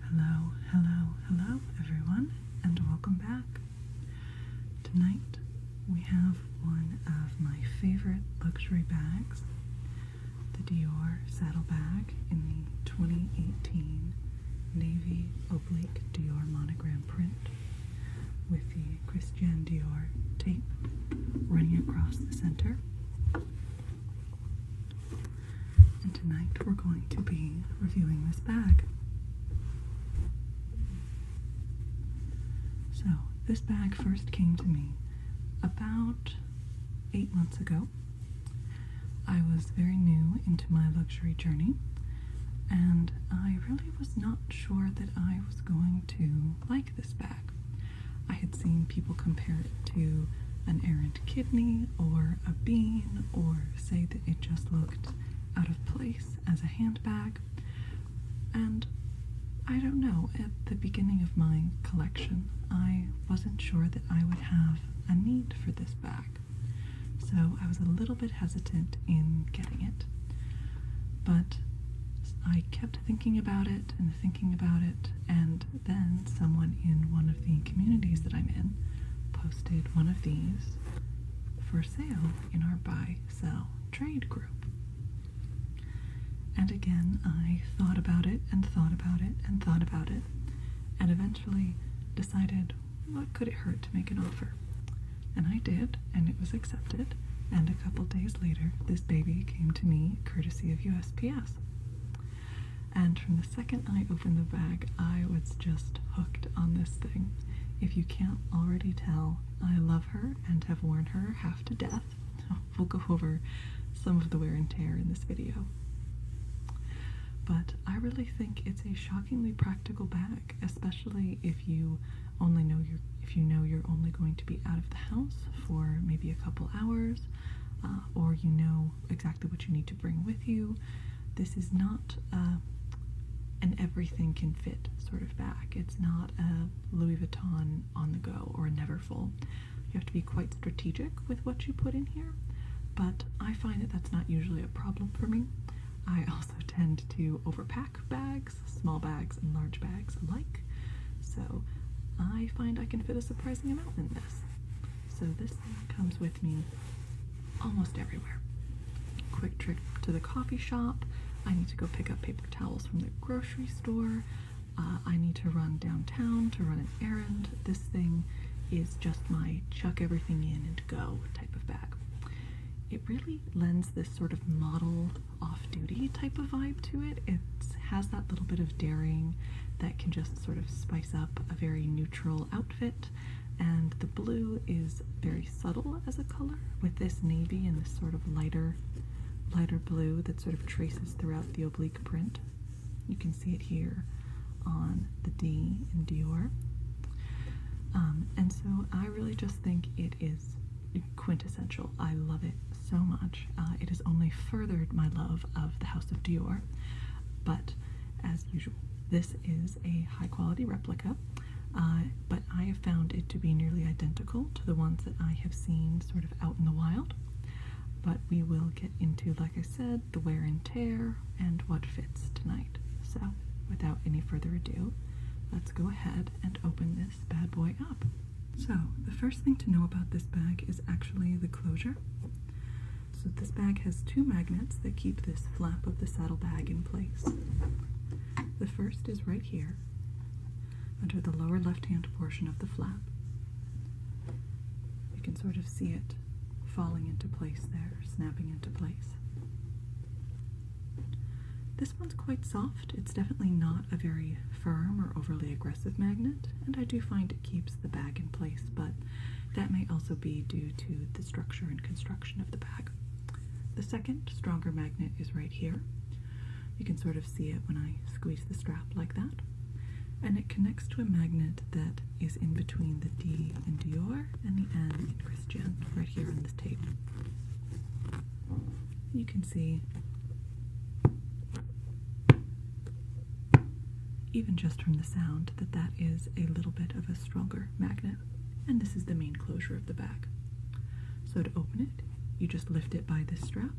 Hello, hello, hello, everyone, and welcome back. Tonight we have one of my favorite luxury bags, the Dior saddle bag in the 2018 navy oblique Dior monogram print with the Christian Dior tape running across the center tonight we're going to be reviewing this bag. So, this bag first came to me about eight months ago. I was very new into my luxury journey, and I really was not sure that I was going to like this bag. I had seen people compare it to an errant kidney or a bean, or say that it just looked out of place as a handbag. And I don't know, at the beginning of my collection, I wasn't sure that I would have a need for this bag. So I was a little bit hesitant in getting it. But I kept thinking about it and thinking about it, and then someone in one of the communities that I'm in posted one of these for sale in our buy sell trade group. And again, I thought about it and thought about it and thought about it and eventually decided what could it hurt to make an offer. And I did, and it was accepted. And a couple days later, this baby came to me courtesy of USPS. And from the second I opened the bag, I was just hooked on this thing. If you can't already tell, I love her and have worn her half to death. We'll go over some of the wear and tear in this video. But I really think it's a shockingly practical bag, especially if you only know you're if you know you're only going to be out of the house for maybe a couple hours, uh, or you know exactly what you need to bring with you. This is not uh, an everything can fit sort of bag. It's not a Louis Vuitton on the go or a never full. You have to be quite strategic with what you put in here, but I find that that's not usually a problem for me. I also tend to overpack bags, small bags and large bags alike, so I find I can fit a surprising amount in this. So this comes with me almost everywhere. Quick trip to the coffee shop. I need to go pick up paper towels from the grocery store. Uh, I need to run downtown to run an errand. This thing is just my chuck everything in and go type of bag. It really lends this sort of model off duty type of vibe to it. It has that little bit of daring that can just sort of spice up a very neutral outfit and the blue is very subtle as a color with this navy and this sort of lighter, lighter blue that sort of traces throughout the oblique print. You can see it here on the D in Dior. Um, and so I really just think it is quintessential. I love it so much. Uh, it has only furthered my love of the House of Dior, but as usual, this is a high quality replica, uh, but I have found it to be nearly identical to the ones that I have seen sort of out in the wild. But we will get into, like I said, the wear and tear and what fits tonight. So, without any further ado, let's go ahead and open this bad boy up. So, the first thing to know about this bag is actually the closure. So this bag has two magnets that keep this flap of the saddle bag in place. The first is right here, under the lower left-hand portion of the flap. You can sort of see it falling into place there, snapping into place. This one's quite soft. It's definitely not a very firm or overly aggressive magnet, and I do find it keeps the bag in place, but that may also be due to structure and construction of the bag. The second, stronger magnet is right here. You can sort of see it when I squeeze the strap like that. And it connects to a magnet that is in between the D in Dior and the N in Christian, right here on this tape. You can see, even just from the sound, that that is a little bit of a stronger magnet and this is the main closure of the bag. So to open it, you just lift it by this strap.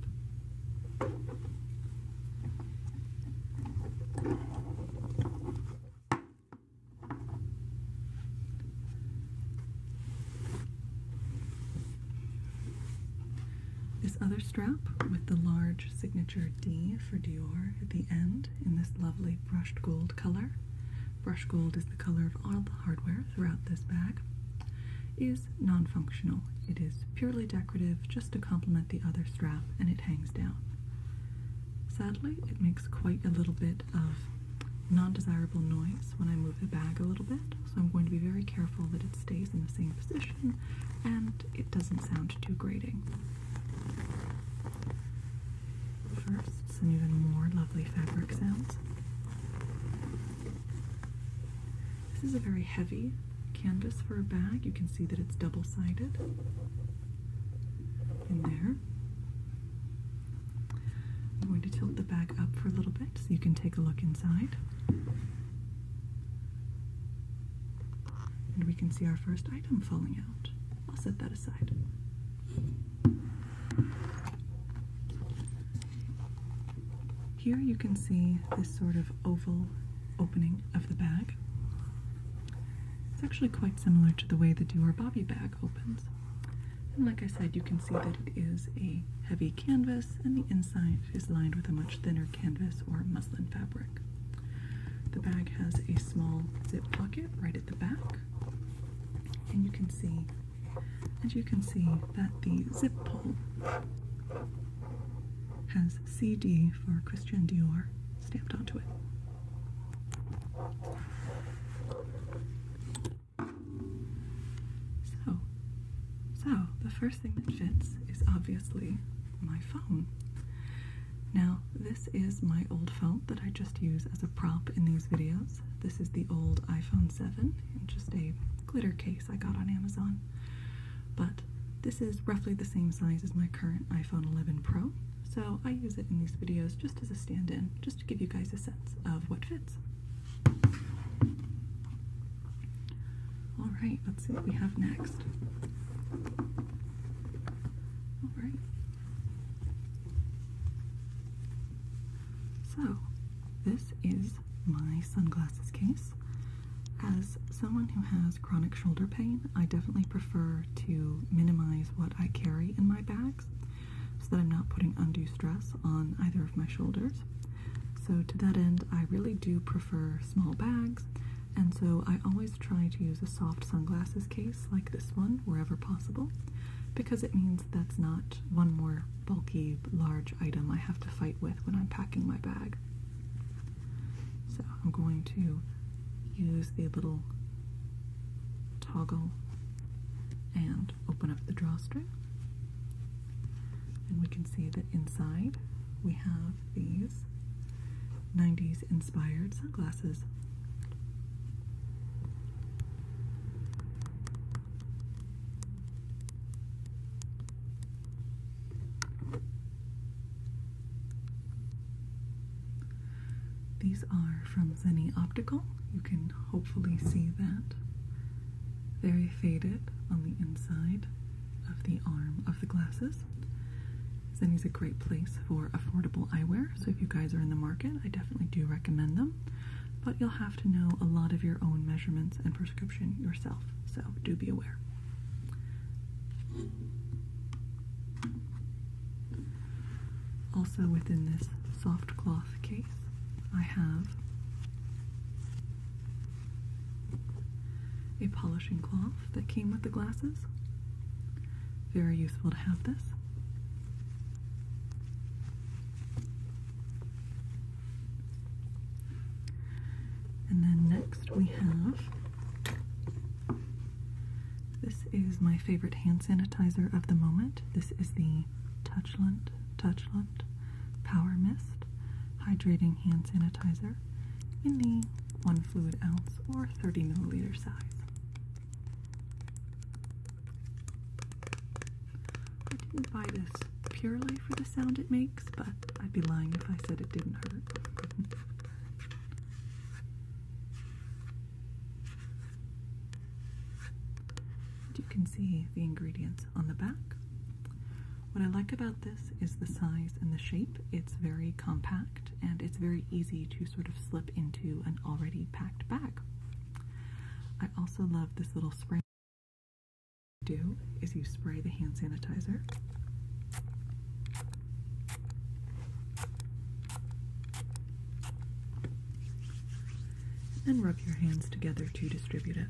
This other strap with the large signature D for Dior at the end in this lovely brushed gold color. brushed gold is the color of all the hardware throughout this bag. Is non functional. It is purely decorative just to complement the other strap and it hangs down. Sadly, it makes quite a little bit of non desirable noise when I move the bag a little bit, so I'm going to be very careful that it stays in the same position and it doesn't sound too grating firsts and even more lovely fabric sounds. This is a very heavy canvas for a bag. You can see that it's double sided in there. I'm going to tilt the bag up for a little bit so you can take a look inside. And we can see our first item falling out. I'll set that aside. Here you can see this sort of oval opening of the bag. It's actually quite similar to the way the Dior Bobby bag opens. And like I said, you can see that it is a heavy canvas and the inside is lined with a much thinner canvas or muslin fabric. The bag has a small zip pocket right at the back, and you can see, as you can see, that the zip pull has CD for Christian Dior stamped onto it. So, so the first thing that fits is obviously my phone. Now, this is my old phone that I just use as a prop in these videos. This is the old iPhone 7 just a glitter case I got on Amazon. But this is roughly the same size as my current iPhone 11 Pro, so I use it in these videos just as a stand-in, just to give you guys a sense of what fits. All right, let's see what we have next. So, this is my sunglasses case. As someone who has chronic shoulder pain, I definitely prefer to minimize what I carry in my bags so that I'm not putting undue stress on either of my shoulders. So, to that end, I really do prefer small bags and so I always try to use a soft sunglasses case like this one wherever possible because it means that's not one more bulky, large item I have to fight with when I'm packing my bag. So I'm going to use the little toggle and open up the drawstring. And we can see that inside we have these 90s inspired sunglasses. These are from Zenni Optical. You can hopefully see that. Very faded on the inside of the arm of the glasses. Zenny's a great place for affordable eyewear, so if you guys are in the market, I definitely do recommend them. But you'll have to know a lot of your own measurements and prescription yourself, so do be aware. Also, within this soft cloth case, I have a polishing cloth that came with the glasses. Very useful to have this. And then next we have this is my favorite hand sanitizer of the moment. This is the Touchland Touchland Power Mist Hydrating Hand Sanitizer in the 1 fluid ounce or 30 milliliter size. I didn't buy this purely for the sound it makes, but I'd be lying if I said it didn't hurt. you can see the ingredients on the back. What I like about this is the size and the shape. It's very compact and it's very easy to sort of slip into an already packed bag. I also love this little spray. do is you spray the hand sanitizer. And rub your hands together to distribute it.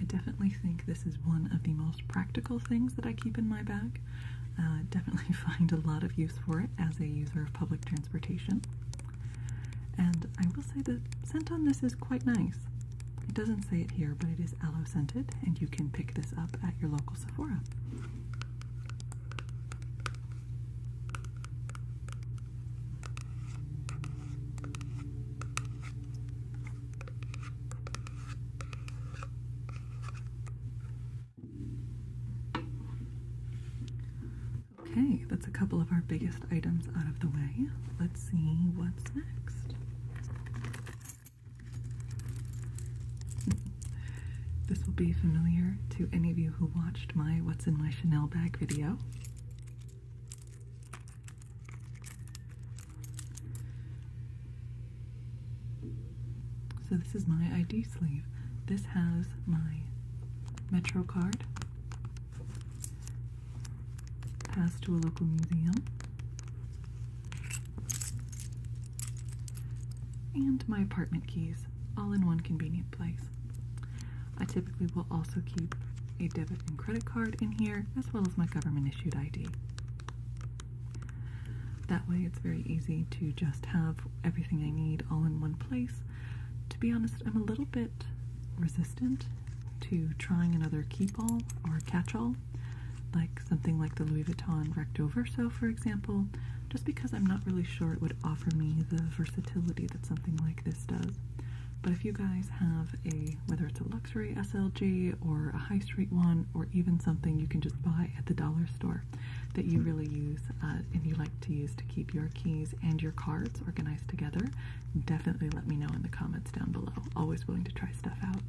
I definitely think this is one of the most practical things that I keep in my bag. Uh, definitely find a lot of use for it as a user of public transportation. And I will say the scent on this is quite nice. It doesn't say it here, but it is aloe scented, and you can pick this up at your local Sephora. Okay, that's a couple of our biggest items out of the way. Let's see what's next. Hmm. this will be familiar to any of you who watched my What's in My Chanel Bag video. So this is my ID sleeve. This has my Metro card, pass to a local museum, and my apartment keys, all in one convenient place. I typically will also keep a debit and credit card in here, as well as my government issued ID. That way, it's very easy to just have everything I need all in one place. To be honest, I'm a little bit resistant to trying another keep all or catch all, like something like the Louis Vuitton Recto Verso, for example, just because I'm not really sure it would offer me the versatility that something like this does. But if you guys have a, whether it's a luxury SLG or a high street one, or even something you can just buy at the dollar store that you really use uh, and you like to use to keep your keys and your cards organized together, definitely let me know in the comments down below. Always willing to try stuff out.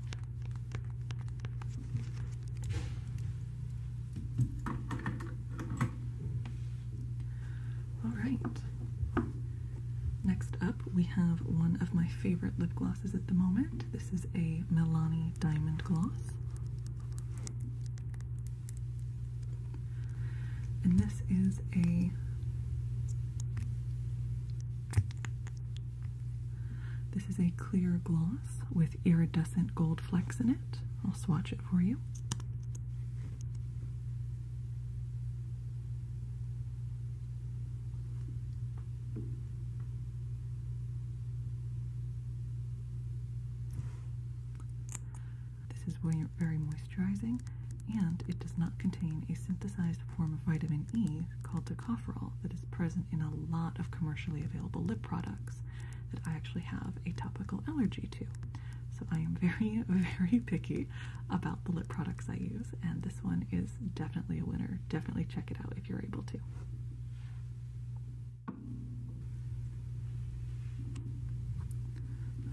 All right. Next up, we have one of my favorite lip glosses at the moment. This is a Milani Diamond Gloss. And this is a This is a clear gloss with iridescent gold flecks in it. I'll swatch it for you. This is very moisturizing and it does not contain a synthesized form of vitamin E called tocopherol that is present in a lot of commercially available lip products that I actually have a topical allergy so I am very, very picky about the lip products I use, and this one is definitely a winner. Definitely check it out if you're able to.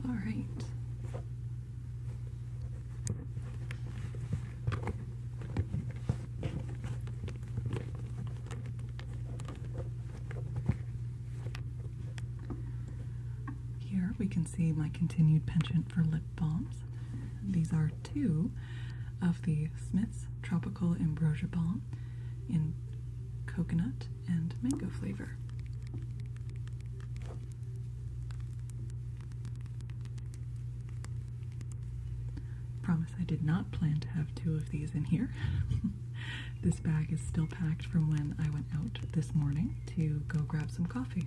All right. Here we can see my continued penchant for lip balms. These are two of the Smith's Tropical Ambrosia Balm in coconut and mango flavor. Promise I did not plan to have two of these in here. This bag is still packed from when I went out this morning to go grab some coffee.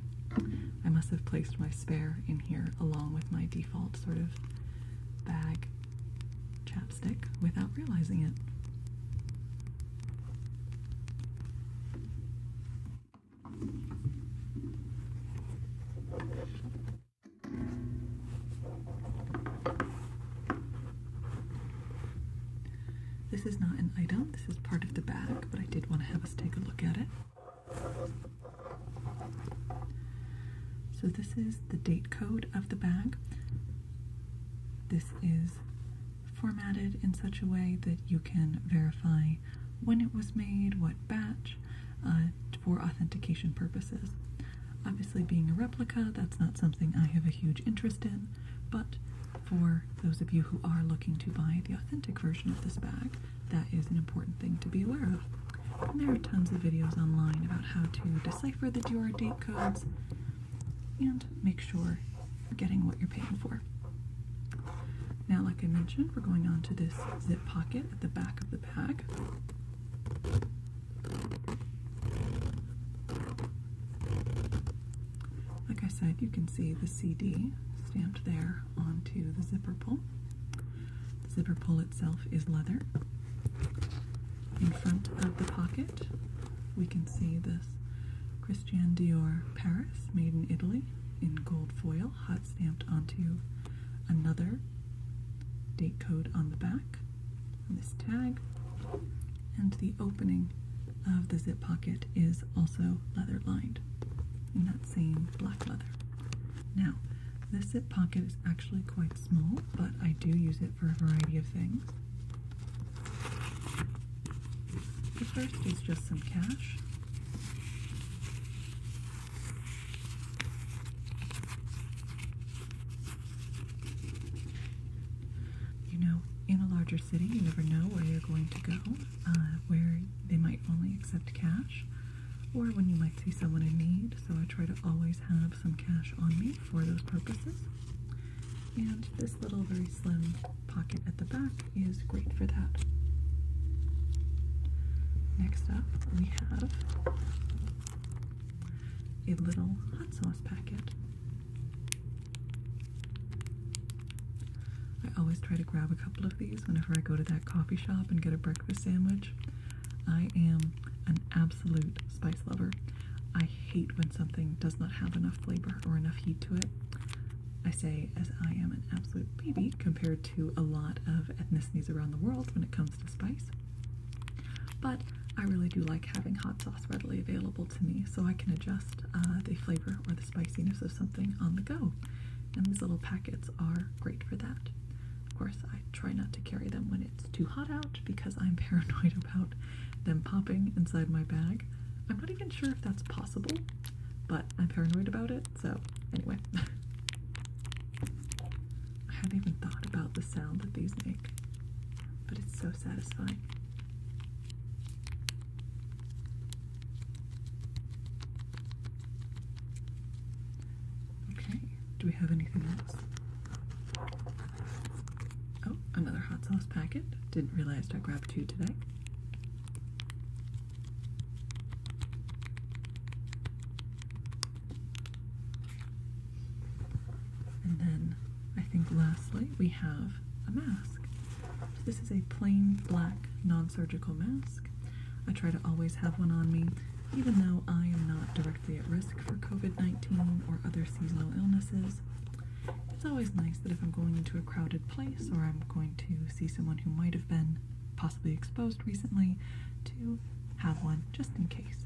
I must have placed my spare in here along with my default sort of bag chapstick without realizing it. This is not an item, this is part of the bag, but I did want to have us take a look at it. So, this is the date code of the bag. This is formatted in such a way that you can verify when it was made, what batch, uh, for authentication purposes. Obviously, being a replica, that's not something I have a huge interest in, but for those of you who are looking to buy the authentic version of this bag, that is an important thing to be aware of. there are tons of videos online about how to decipher the Dior date codes and make sure you're getting what you're paying for. Now, like I mentioned, we're going on to this zip pocket at the back of the bag. Like I said, you can see the CD stamped there onto the zipper pull. The zipper pull itself is leather. In front of the pocket, we can see this Christian Dior Paris, made in Italy, in gold foil, hot stamped onto another date code on the back, and this tag, and the opening of the zip pocket is also leather lined in that same black leather. Now, this zip pocket is actually quite small, but I do use it for a variety of things. The first is just some cash. You know, in a larger city, you never know where you're going to go, uh, where they might only accept cash, or when you might see someone in need. So I try to always have some cash on me for those purposes. And this little very slim pocket at the back is great for that. Next up, we have a little hot sauce packet. I always try to grab a couple of these whenever I go to that coffee shop and get a breakfast sandwich. I am an absolute spice lover. I hate when something does not have enough flavor or enough heat to it. I say, as I am an absolute baby compared to a lot of ethnicities around the world when it comes to spice. But I really do like having hot sauce readily available to me so I can adjust uh, the flavor or the spiciness of something on the go. And these little packets are great for that. Of course, I try not to carry them when it's too hot out because I'm paranoid about them popping inside my bag. I'm not even sure if that's possible, but I'm paranoid about it, so anyway. I hadn't even thought about the sound that these make, but it's so satisfying. Okay, do we have anything else? Oh, another hot sauce packet. Didn't realize I grabbed two today. And I think lastly we have a mask. this is a plain black non-surgical mask. I try to always have one on me even though I am not directly at risk for COVID-19 or other seasonal illnesses. It's always nice that if I'm going into a crowded place or I'm going to see someone who might have been possibly exposed recently to have one just in case.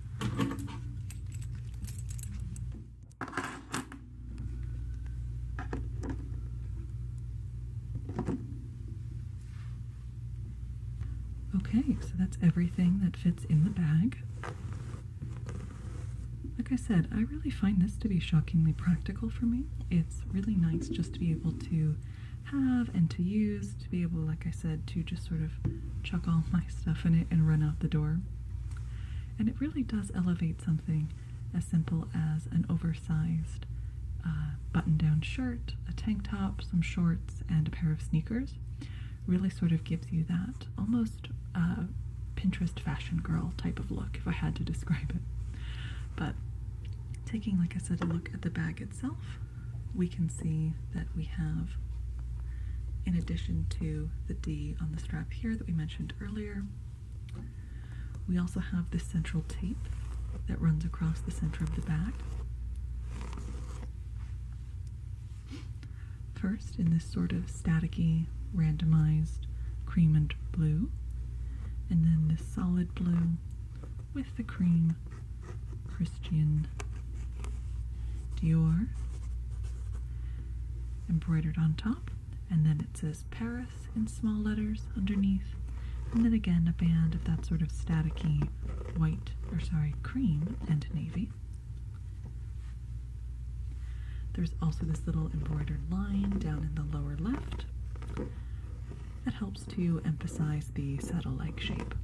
Okay, so that's everything that fits in the bag. Like I said, I really find this to be shockingly practical for me. It's really nice just to be able to have and to use, to be able, like I said, to just sort of chuck all my stuff in it and run out the door. And it really does elevate something as simple as an oversized uh, button down shirt, a tank top, some shorts, and a pair of sneakers. Really sort of gives you that almost uh, Pinterest fashion girl type of look, if I had to describe it. But taking, like I said, a look at the bag itself, we can see that we have in addition to the D on the strap here that we mentioned earlier. We also have this central tape that runs across the center of the back. First, in this sort of staticky, randomized cream and blue, and then this solid blue with the cream Christian Dior embroidered on top, and then it says Paris in small letters underneath, and then again a band of that sort of staticy white, or sorry, cream and navy. There's also this little embroidered line down in the lower left that helps to emphasize the saddle-like shape.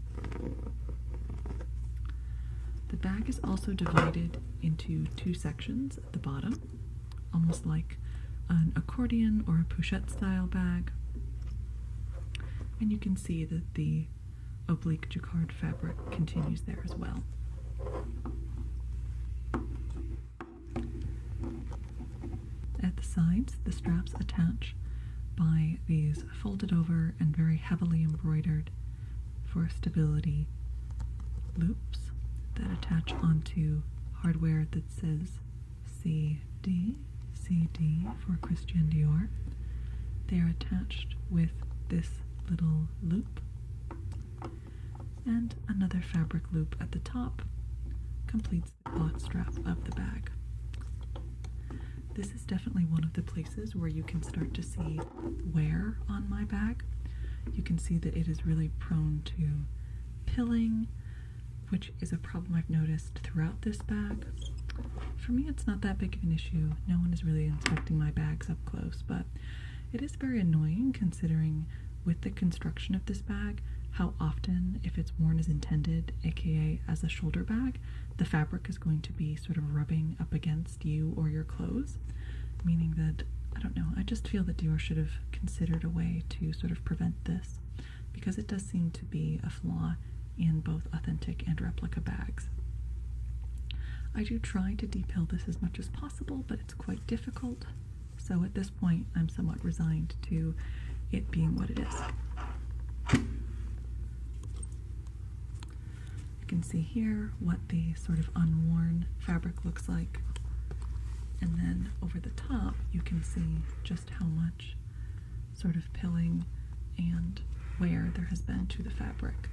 The bag is also divided into two sections at the bottom, almost like an accordion or a pochette style bag. And you can see that the oblique jacquard fabric continues there as well. At the sides, the straps attach by these folded over and very heavily embroidered for stability. Loops that attach onto hardware that says CD, CD for Christian Dior. They are attached with this little loop and another fabric loop at the top completes the cloth strap of the bag. This is definitely one of the places where you can start to see wear on my bag, you can see that it is really prone to pilling, which is a problem I've noticed throughout this bag. For me, it's not that big of an issue. No one is really inspecting my bags up close, but it is very annoying considering with the construction of this bag how often, if it's worn as intended, aka as a shoulder bag, the fabric is going to be sort of rubbing up against you or your clothes, meaning that I don't know, I just feel that Dior should have considered a way to sort of prevent this because it does seem to be a flaw in both authentic and replica bags. I do try to depill this as much as possible, but it's quite difficult. So at this point, I'm somewhat resigned to it being what it is. You can see here what the sort of unworn fabric looks like. And then over the top, you can see just how much sort of pilling and wear there has been to the fabric.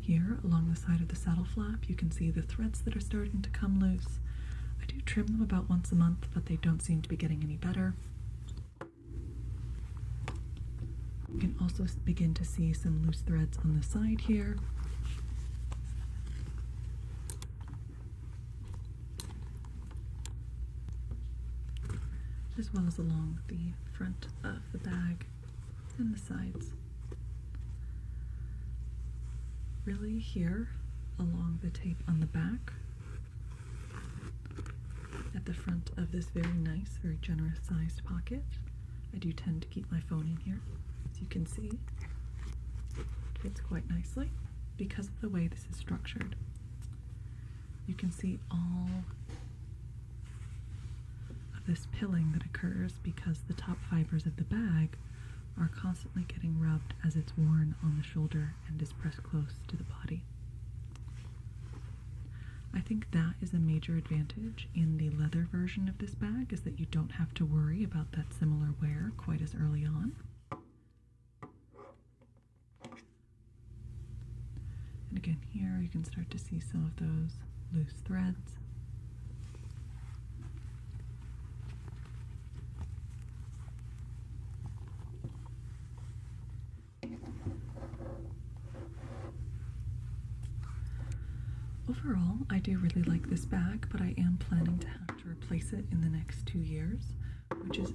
Here, along the side of the saddle flap, you can see the threads that are starting to come loose. I do trim them about once a month, but they don't seem to be getting any better. You can also begin to see some loose threads on the side here. As well as along the front of the bag and the sides. Really here along the tape on the back at the front of this very nice, very generous sized pocket. I do tend to keep my phone in here, as you can see. fits quite nicely because of the way this is structured. You can see all of this pilling that occurs because the top fibers of the bag are constantly getting rubbed as it's worn on the shoulder and is pressed close to the body. I think that is a major advantage in the leather version of this bag is that you don't have to worry about that similar wear quite as early on. And again here you can start to see some of those loose threads Overall, I do really like this bag, but I am planning to have to replace it in the next two years, which is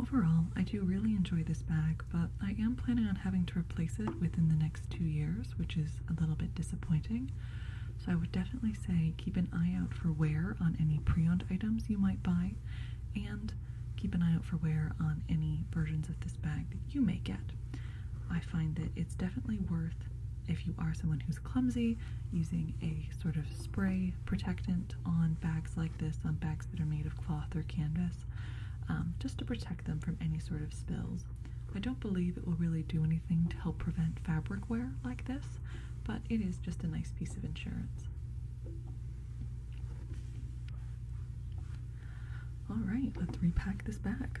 Overall, I do really enjoy this bag, but I am planning on having to replace it within the next two years, which is a little bit disappointing. So I would definitely say keep an eye out for wear on any pre-owned items you might buy, and keep an eye out for wear on any versions of this bag that you may get. I find that it's definitely worth, if you are someone who's clumsy, using a sort of spray protectant on bags like this, on bags that are made of cloth or canvas, um, just to protect them from any sort of spills. I don't believe it will really do anything to help prevent fabric wear like this, but it is just a nice piece of insurance. Alright, let's repack this bag.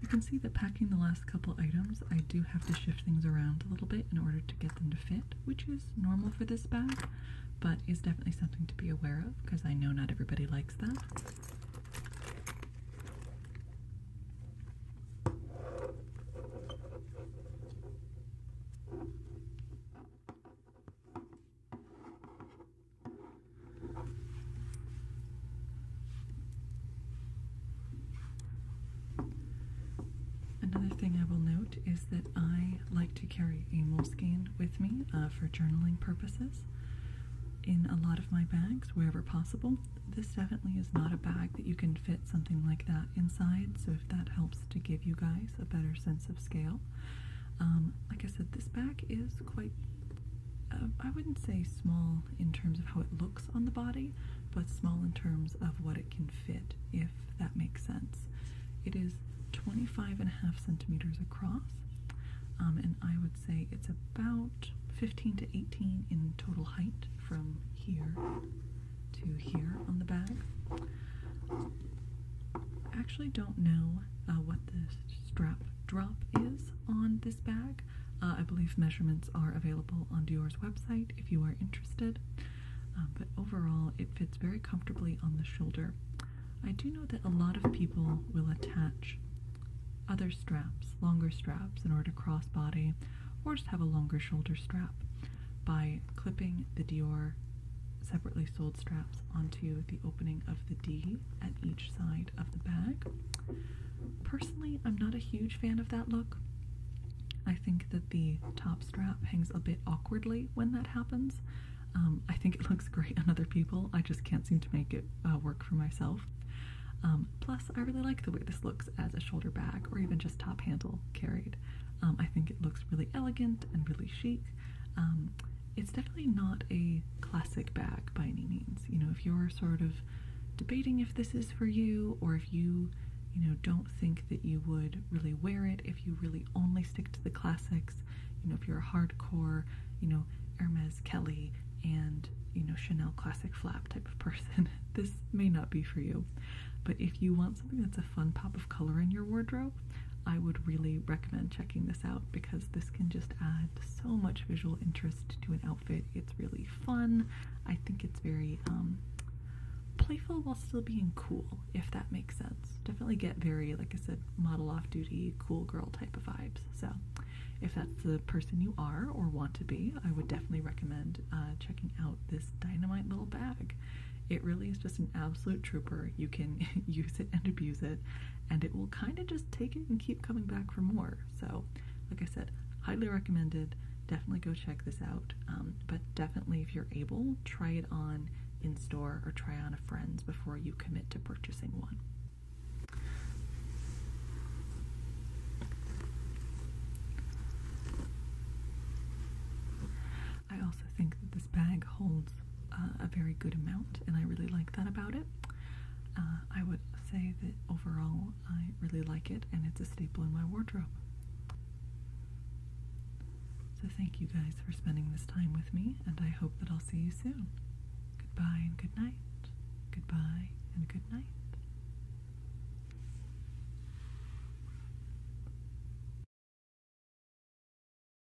You can see that packing the last couple items, I do have to shift things around a little bit in order to get them to fit, which is normal for this bag, but is definitely something to be aware of because I know not everybody likes that. Another thing I will note is that I like to carry a moleskin with me uh, for journaling purposes in a lot of my bags wherever possible. This definitely is not a bag that you can fit something like that inside, so if that helps to give you guys a better sense of scale. Um, like I said, this back is quite, uh, I wouldn't say small in terms of how it looks on the body, but small in terms of what it can fit, if that makes sense. It is 25 and a half centimeters across, um, and I would say it's about 15 to 18 in total height from here to here on the bag. I actually don't know uh, what the strap drop is on this bag. Uh, I believe measurements are available on Dior's website if you are interested. Uh, but overall, it fits very comfortably on the shoulder. I do know that a lot of people will attach other straps, longer straps, in order to crossbody or just have a longer shoulder strap by clipping the Dior separately sold straps onto the opening of the D at each side of the bag. Personally, I'm not a huge fan of that look. I think that the top strap hangs a bit awkwardly when that happens. Um, I think it looks great on other people, I just can't seem to make it uh, work for myself. Um, plus, I really like the way this looks as a shoulder bag or even just top handle carried. Um, I think it looks really elegant and really chic it's definitely not a classic bag by any means. You know, if you're sort of debating if this is for you, or if you, you know, don't think that you would really wear it, if you really only stick to the classics, you know, if you're a hardcore, you know, Hermes Kelly and, you know, Chanel classic flap type of person, this may not be for you. But if you want something that's a fun pop of color in your wardrobe, I would really recommend checking this out because this can just add so much visual interest to an outfit. It's really fun. I think it's very um, playful while still being cool, if that makes sense. Definitely get very, like I said, model off duty, cool girl type of vibes. So, if that's the person you are or want to be, I would definitely recommend uh, checking out this dynamite little bag. It really is just an absolute trooper. You can use it and abuse it and it will kind of just take it and keep coming back for more. So, like I said, highly recommended. Definitely go check this out. Um, but definitely, if you're able, try it on in store or try on a friend's before you commit to purchasing one. I also think that this bag holds uh, a very good amount, and I really like that about it. Uh, I would say that overall I really like it, and it's a staple in my wardrobe. So, thank you guys for spending this time with me, and I hope that I'll see you soon. Goodbye and good night. Goodbye and good night.